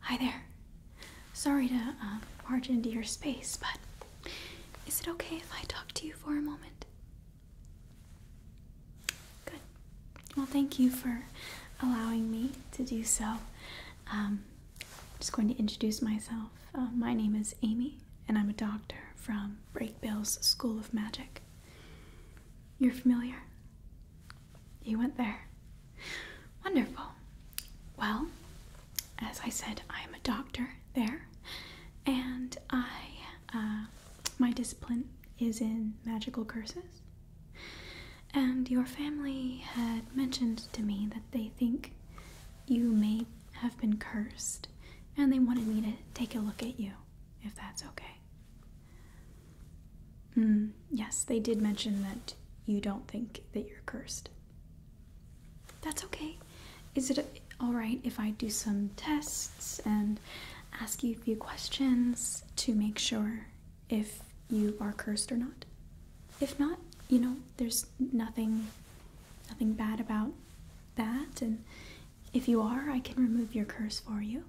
Hi there. Sorry to march uh, into your space, but is it okay if I talk to you for a moment? Good. Well, thank you for allowing me to do so. I'm um, just going to introduce myself. Uh, my name is Amy, and I'm a doctor from Breakbill's School of Magic. You're familiar? You went there. Wonderful. Well, as I said, I am a doctor there, and I uh, my discipline is in magical curses. And your family had mentioned to me that they think you may have been cursed, and they wanted me to take a look at you, if that's okay. Mm, yes, they did mention that you don't think that you're cursed. That's okay. Is it alright if I do some tests and ask you a few questions to make sure if you are cursed or not? If not, you know, there's nothing nothing bad about that and if you are, I can remove your curse for you.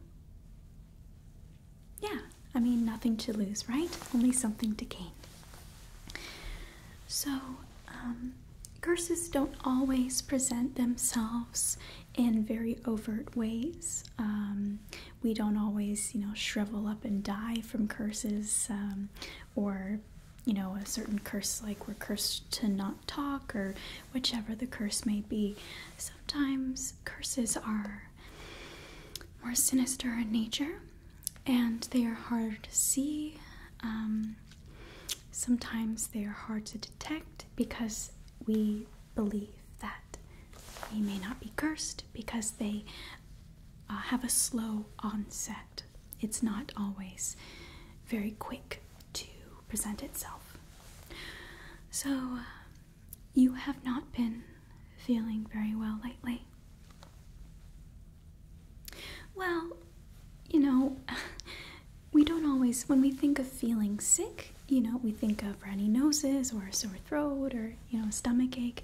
Yeah, I mean, nothing to lose, right? Only something to gain. So, um, curses don't always present themselves in very overt ways. Um, we don't always, you know, shrivel up and die from curses um, or you know, a certain curse, like we're cursed to not talk or whichever the curse may be. Sometimes curses are more sinister in nature and they are hard to see. Um, sometimes they are hard to detect because we believe that they may not be cursed because they uh, have a slow onset. It's not always very quick to present itself. So, you have not been feeling very well lately. Well, you know, we don't always, when we think of feeling sick, you know, we think of runny noses or a sore throat or, you know, a stomach ache.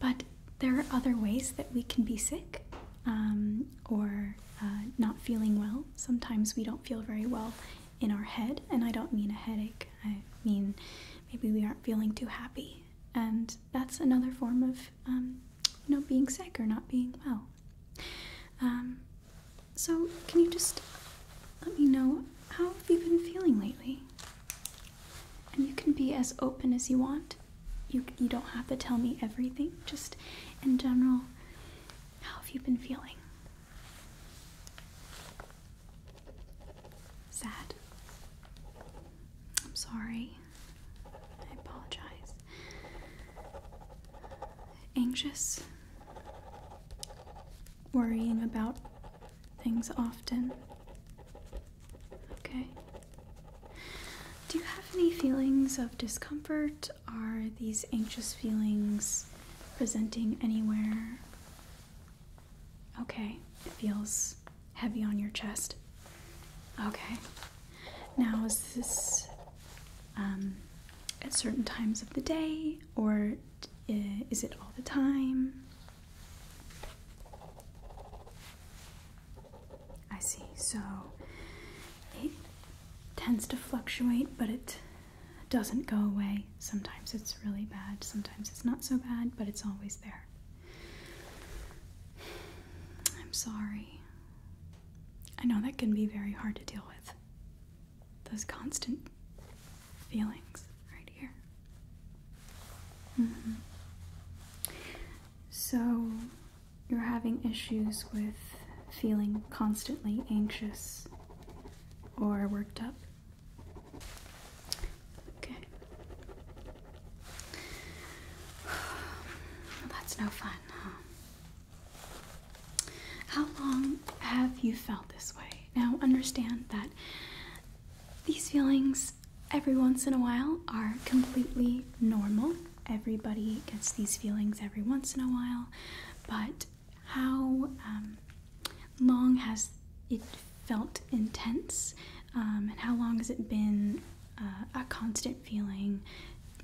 But there are other ways that we can be sick um, or uh, not feeling well. Sometimes we don't feel very well in our head. And I don't mean a headache, I mean maybe we aren't feeling too happy. And that's another form of, um, you know, being sick or not being well. Um, so, can you just let me know how have you been feeling lately? And you can be as open as you want. You, you don't have to tell me everything, just in general, how have you been feeling? sad. I'm sorry. I apologize. Anxious. Worrying about things often. Okay. Do you have any feelings of discomfort? Are these anxious feelings presenting anywhere? Okay, it feels heavy on your chest. Okay. Now, is this um, at certain times of the day, or is it all the time? I see. So it tends to fluctuate, but it doesn't go away. Sometimes it's really bad, sometimes it's not so bad, but it's always there. I'm sorry. I know that can be very hard to deal with. Those constant feelings right here. Mm-hmm. So, you're having issues with feeling constantly anxious or worked up Okay. that's no fun, How long have you felt this way? Now, understand that these feelings, every once in a while, are completely normal. Everybody gets these feelings every once in a while, but how um, long has it felt intense, um, and how long has it been uh, a constant feeling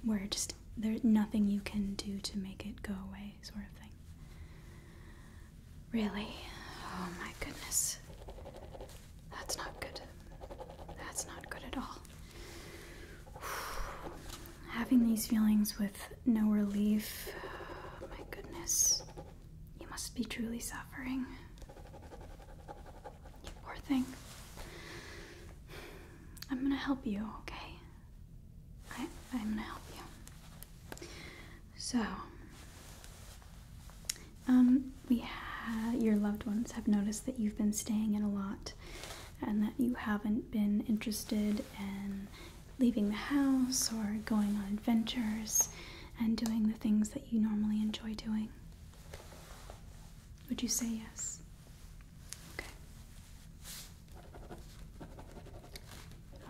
where just there's nothing you can do to make it go away, sort of thing? Really? Oh my goodness. That's not good. That's not good at all. Having these feelings with no relief, oh my goodness, you must be truly suffering. You poor thing. I'm gonna help you, okay? I, am gonna help you. So, um, we your loved ones have noticed that you've been staying in a lot and that you haven't been interested in leaving the house or going on adventures and doing the things that you normally enjoy doing? Would you say yes?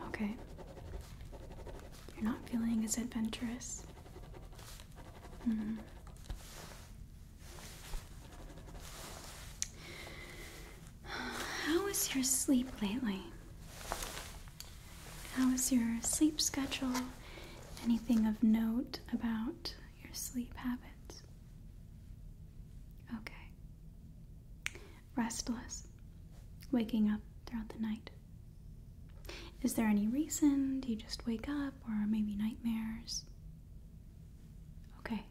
Okay. Okay. You're not feeling as adventurous. Mm-hmm. How is your sleep lately? How is your sleep schedule? Anything of note about your sleep habits? Okay. Restless. Waking up throughout the night. Is there any reason? Do you just wake up or maybe nightmares? Okay.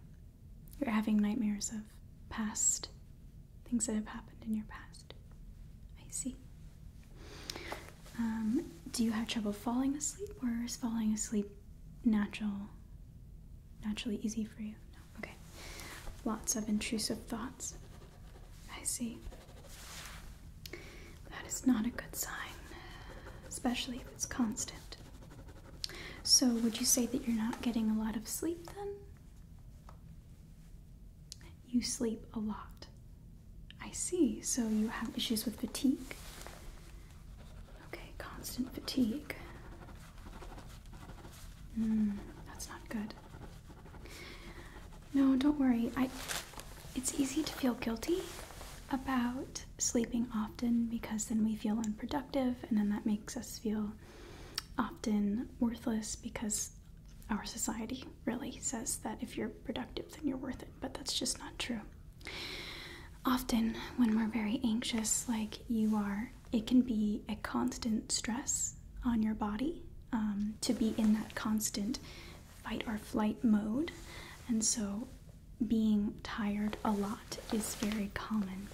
You're having nightmares of past things that have happened in your past. I see. Um, do you have trouble falling asleep, or is falling asleep natural, naturally easy for you? No. Okay. Lots of intrusive thoughts. I see. That is not a good sign, especially if it's constant. So, would you say that you're not getting a lot of sleep then? you sleep a lot. I see. So you have issues with fatigue? Okay, constant fatigue. Mm, that's not good. No, don't worry. I it's easy to feel guilty about sleeping often because then we feel unproductive and then that makes us feel often worthless because our society really says that if you're productive, then you're worth it, but that's just not true. Often, when we're very anxious, like you are, it can be a constant stress on your body um, to be in that constant fight or flight mode, and so being tired a lot is very common.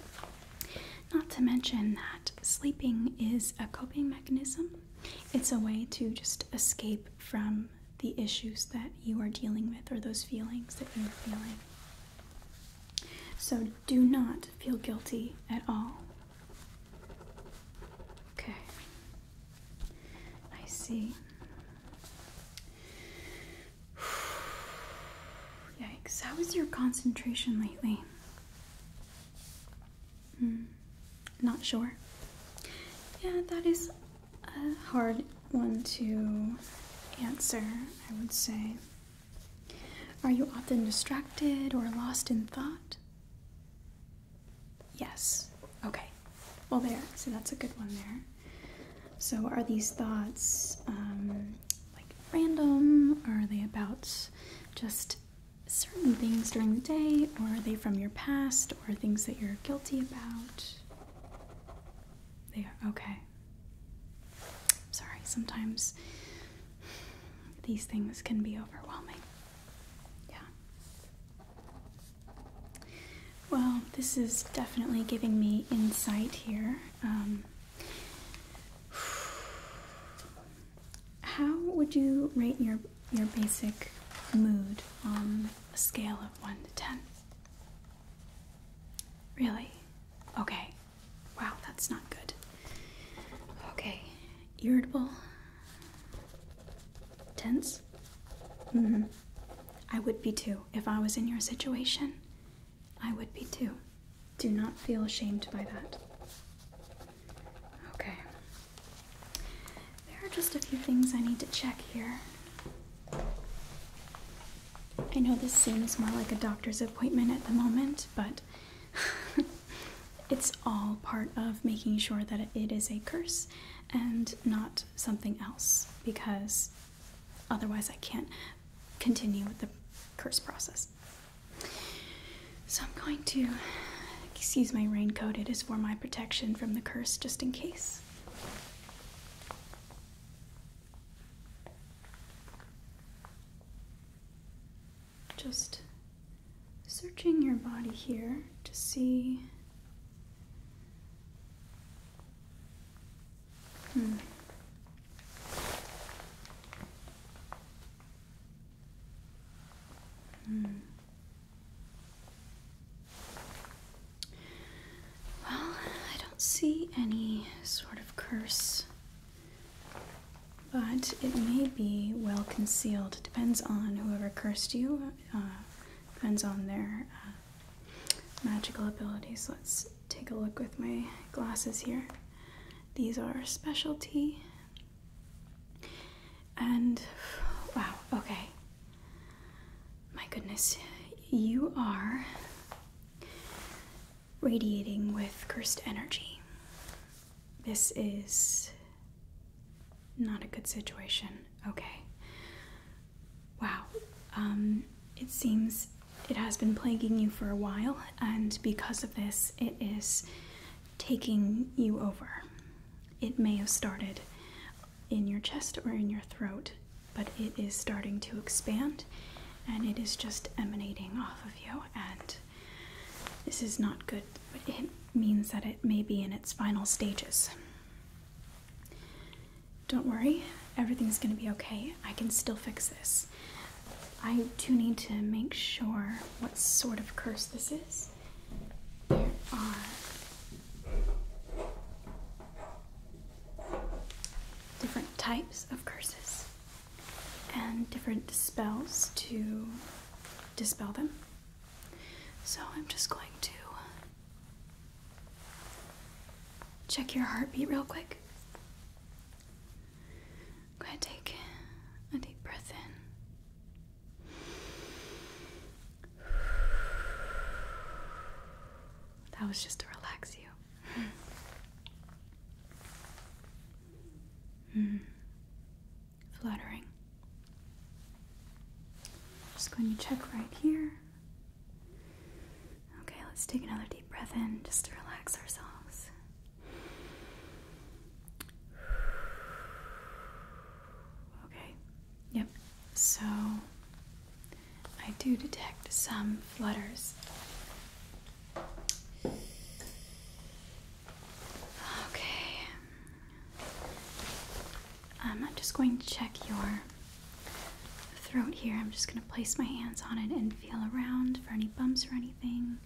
Not to mention that sleeping is a coping mechanism it's a way to just escape from the issues that you are dealing with or those feelings that you are feeling. So do not feel guilty at all. Okay. I see. Yikes. How is your concentration lately? Hmm, not sure. Yeah, that is a hard one to answer, I would say. Are you often distracted or lost in thought? Yes. Okay. Well, there. So that's a good one there. So, are these thoughts um, like random? Or are they about just certain things during the day, or are they from your past, or things that you're guilty about? They are okay. Sorry, sometimes these things can be overwhelming. Yeah. Well, this is definitely giving me insight here. Um, how would you rate your your basic mood on a scale of one to ten? Really? Okay. Wow, that's not good. Okay. Irritable. Tense? Mm-hmm. I would be too. If I was in your situation, I would be too. Do not feel ashamed by that. Okay. There are just a few things I need to check here. I know this seems more like a doctor's appointment at the moment, but it's all part of making sure that it is a curse and not something else because otherwise I can't continue with the curse process. So I'm going to excuse my raincoat. It is for my protection from the curse, just in case. Just searching your body here to see. Hmm. Hmm. Well, I don't see any sort of curse, but it may be well concealed. Depends on whoever cursed you, uh, depends on their uh, magical abilities. Let's take a look with my glasses here. These are specialty and wow, okay. My goodness, you are radiating with cursed energy. This is not a good situation. Okay. Wow. Um, it seems it has been plaguing you for a while, and because of this, it is taking you over. It may have started in your chest or in your throat, but it is starting to expand and it is just emanating off of you. And this is not good. It means that it may be in its final stages. Don't worry, everything's going to be okay. I can still fix this. I do need to make sure what sort of curse this is there are different types of curses and different spells to dispel them. So I'm just going to check your heartbeat real quick. Go ahead, take a deep breath in. That was just to relax you. Mm. Fluttering. Just going to check right here. Okay, let's take another deep breath in just to relax ourselves. Okay. Yep. So I do detect some flutters. Okay. Um, I'm just going to check your throat here. I'm just going to place my hands on it and feel around for any bumps or anything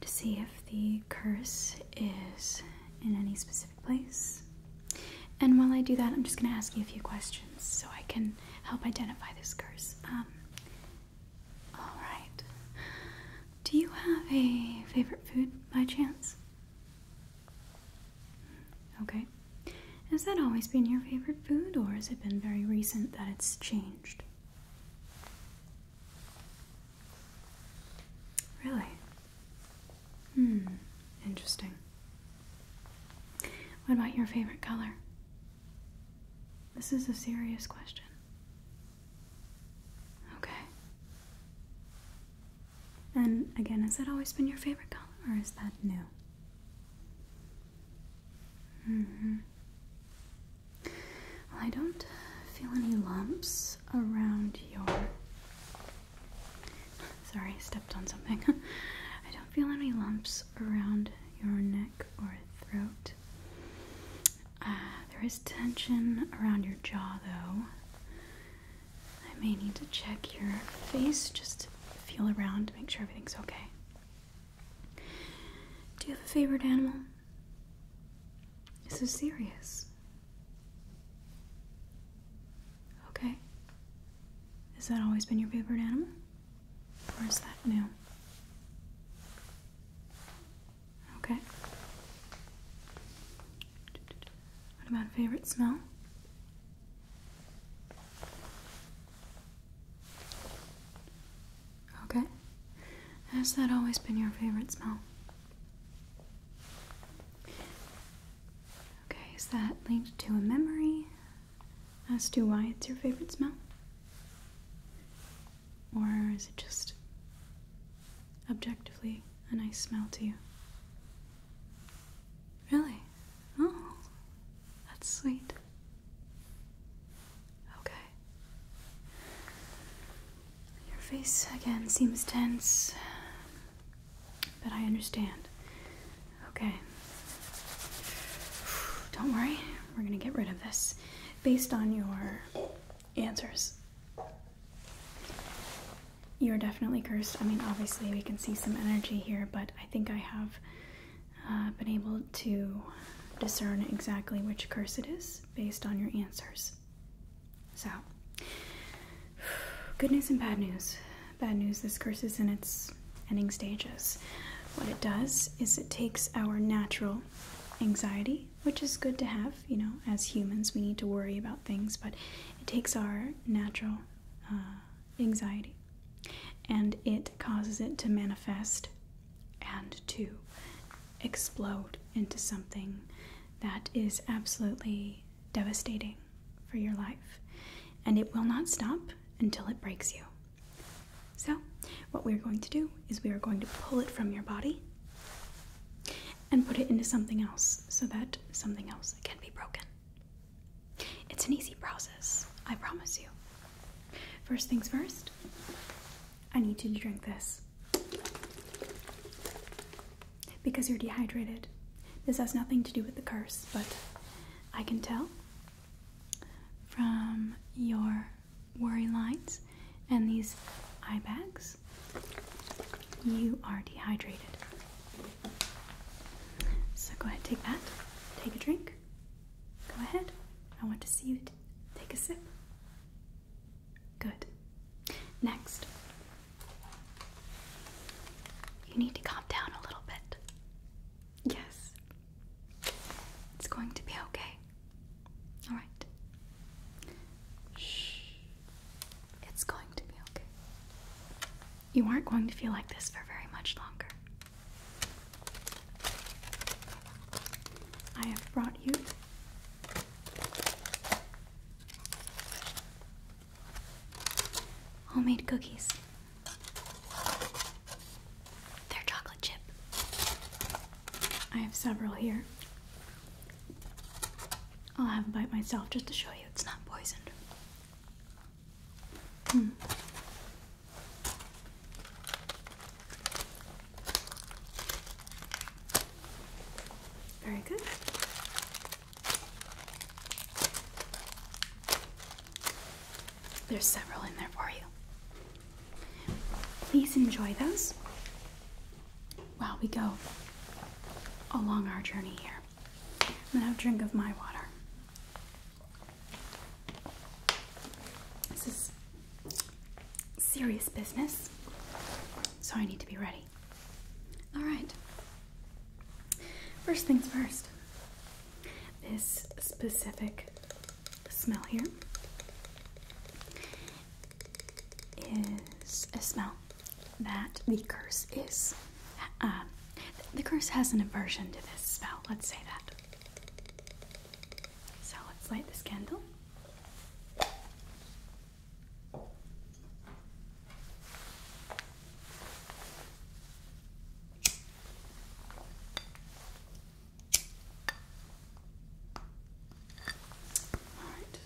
to see if the curse is in any specific place. And while I do that, I'm just going to ask you a few questions so I can help identify this curse. Um, Alright. Do you have a favorite food by chance? Okay. Has that always been your favorite food, or has it been very recent that it's changed? Really? Hmm, interesting. What about your favorite color? This is a serious question. Okay. And again, has that always been your favorite color or is that new? hmm. I don't feel any lumps around your. Sorry, stepped on something. I don't feel any lumps around your neck or throat. Uh, there is tension around your jaw, though. I may need to check your face just to feel around to make sure everything's okay. Do you have a favorite animal? This is serious. Okay. Has that always been your favorite animal? Or is that new? Okay. What about favorite smell? Okay. Has that always been your favorite smell? Okay, is that linked to a memory as to why it's your favorite smell? Or is it just objectively a nice smell to you? Really? Oh, that's sweet. Okay. Your face again seems tense, but I understand. Okay. Don't worry, we're gonna get rid of this based on your answers. You're definitely cursed. I mean, obviously, we can see some energy here, but I think I have uh, been able to discern exactly which curse it is based on your answers. So, good news and bad news. Bad news this curse is in its ending stages. What it does is it takes our natural anxiety, which is good to have, you know, as humans, we need to worry about things, but it takes our natural uh, anxiety and it causes it to manifest and to explode into something that is absolutely devastating for your life. And it will not stop until it breaks you. So, what we're going to do is we are going to pull it from your body and put it into something else so that something else can be broken. It's an easy process, I promise you. First things first, I need you to drink this. Because you're dehydrated. This has nothing to do with the curse, but I can tell from your worry lines and these eye bags, you are dehydrated. So go ahead, take that, take a drink. Go ahead. I want to see you take a sip. Good. Next, you need to calm down a little bit. Yes. It's going to be okay. All right. Shh. It's going to be okay. You aren't going to feel like this for very much longer. I have brought you Homemade cookies. They're chocolate chip. I have several here. I'll have a bite myself just to show you it's not poisoned. Hmm. Very good. There's several in there for you. Please enjoy those while we go along our journey here. I'm gonna have a drink of my water. This is serious business, so I need to be ready. Alright, first things first this specific smell here is a smell that the curse is. Uh, the curse has an aversion to this smell, let's say that. So let's light this candle. All right.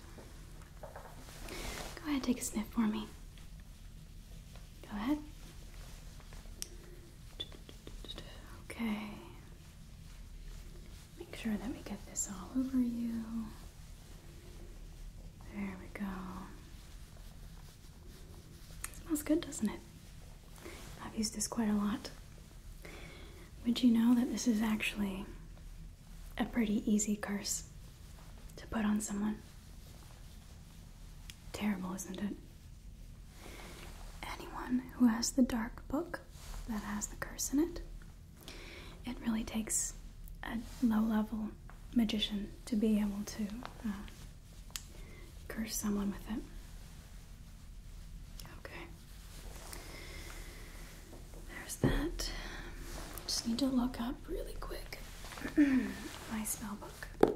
Go ahead, take a sniff for me. Go ahead. Okay. Make sure that we get this all over you. There we go. It smells good, doesn't it? I've used this quite a lot. Would you know that this is actually a pretty easy curse to put on someone? Terrible, isn't it? Anyone who has the dark book that has the curse in it it really takes a low level magician to be able to uh, curse someone with it. Okay. There's that. Just need to look up really quick my spell book.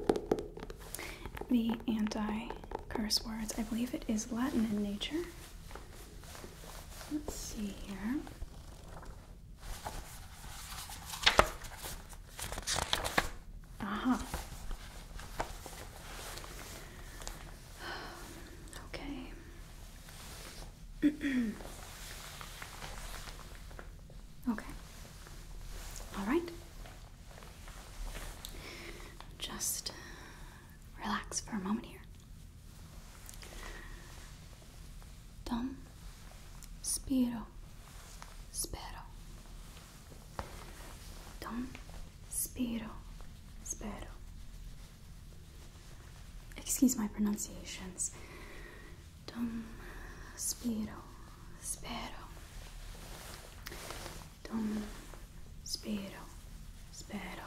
The anti curse words. I believe it is Latin in nature. Let's see here. Aha. Uh-huh. Okay. okay. All right. Just relax for a moment here. Tom Spiro Spero Tom Spiro Spero Excuse my pronunciations. Tom Spiro Spero Tom Spiro Spero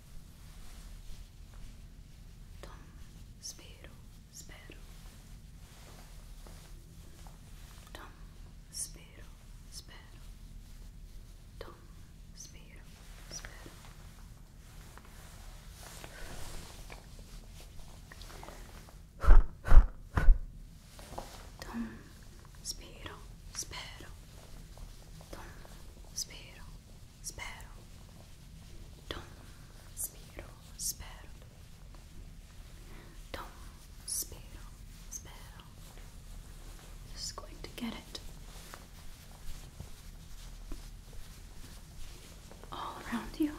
Tom, spero, spero. Tom, spero, spero. Tom, spero, spero. Tom, spero, spero. Tom, spero, spero, tom, spiro, spero, tom, spiro, spero. Just going to get it all around you.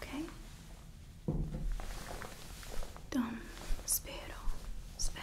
Okay? Tom, spero, spero.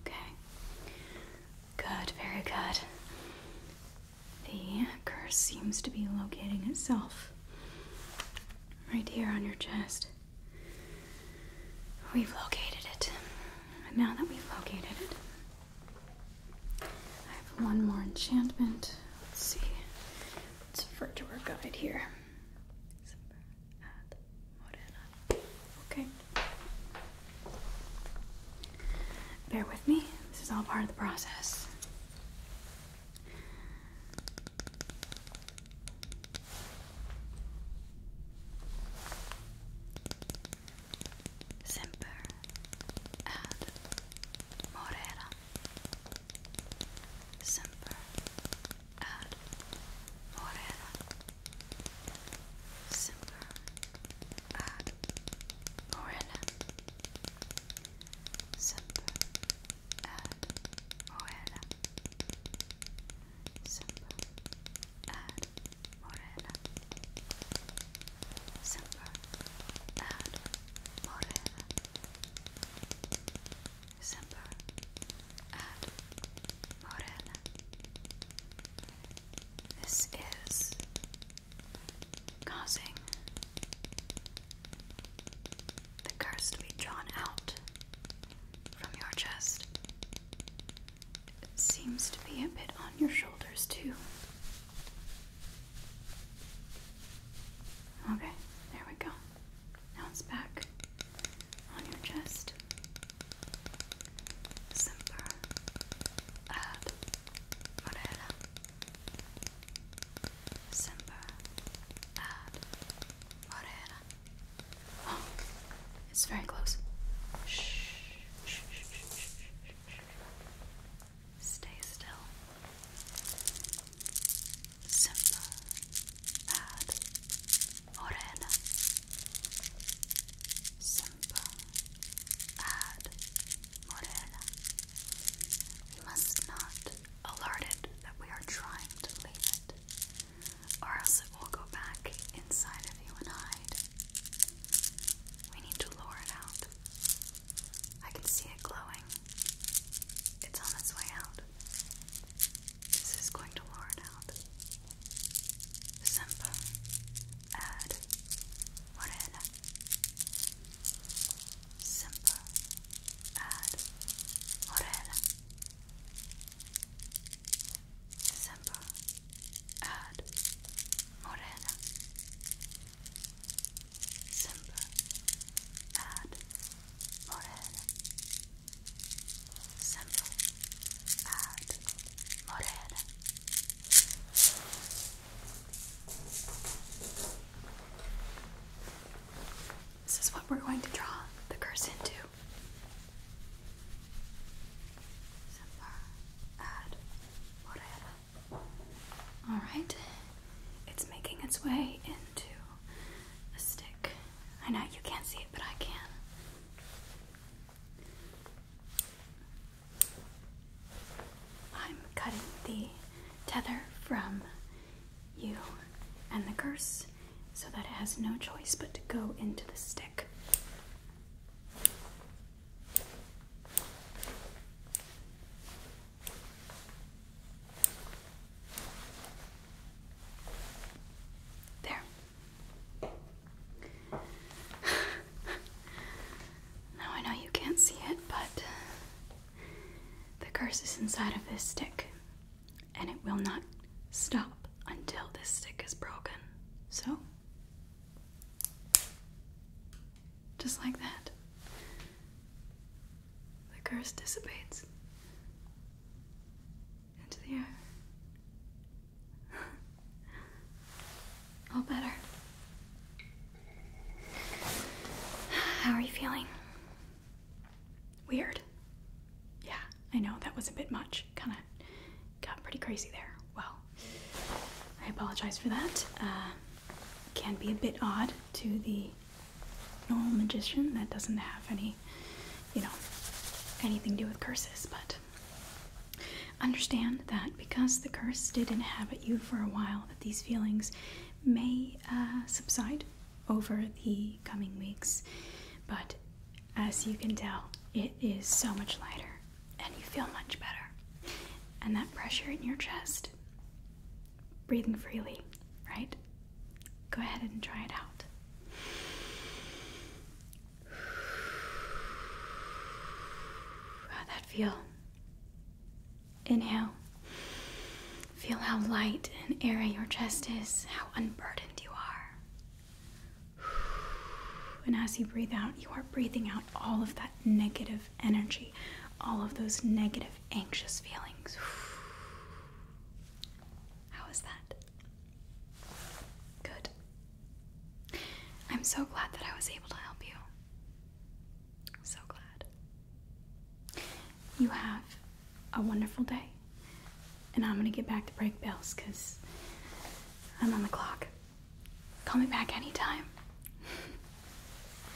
Okay. Good, very good. The curse seems to be locating itself right here on your chest. We've located it. And now that we've located it, I have one more enchantment. Let's see. Let's refer to our guide here. Okay. Bear with me. This is all part of the process. Semper ad Morera. Semper ad morera. Semper ad morena. Semper ad morena. Semper ad morena. Semper ad morena. Semper ad This is causing the curse to be drawn out from your chest. It seems to be a bit on your shoulders, too. Okay, there we go. Now it's back on your chest. Semper ad morella. Semper Oh, it's very close. shh. Stay still. Simple. Bad. Morena. Simple. Bad. Morena. We must not alert it that we are trying to leave it, or else it will go back inside of you and hide. We need to lure it out. I can see it glowing. It's on its way out. This is going to lure out. Simple. Add. Morena. Simple. Add. Morena. Simple. Add. Morena. Simba and Morel. Simba and Morel. This is what we're going to draw the curse into. Simba and Morel. Alright, it's making its way into the stick. I know you can't see it, but I can. I'm cutting the tether from you and the curse so that it has no choice but to go into the stick. There. now I know you can't see it, but the curse is inside of this stick, and it will not stop until this stick is broken. So, just like that. The curse dissipates into the air. All better. How are you feeling? Weird. Yeah, I know that was a bit much. Kinda got pretty crazy there. Well, I apologize for that. Uh, can be a bit odd to the normal magician that doesn't have any, you know, anything to do with curses, but understand that because the curse did inhabit you for a while, that these feelings may uh, subside over the coming weeks, but as you can tell, it is so much lighter and you feel much better. And that pressure in your chest breathing freely, right? Go ahead and try it out. how that feel? Inhale. Feel how light and airy your chest is, how unburdened you are. And as you breathe out, you are breathing out all of that negative energy, all of those negative anxious feelings. How is that? Good. I'm so glad that I was able to help you. so glad. You have a wonderful day. And I'm gonna get back to break bells because I'm on the clock. Call me back anytime.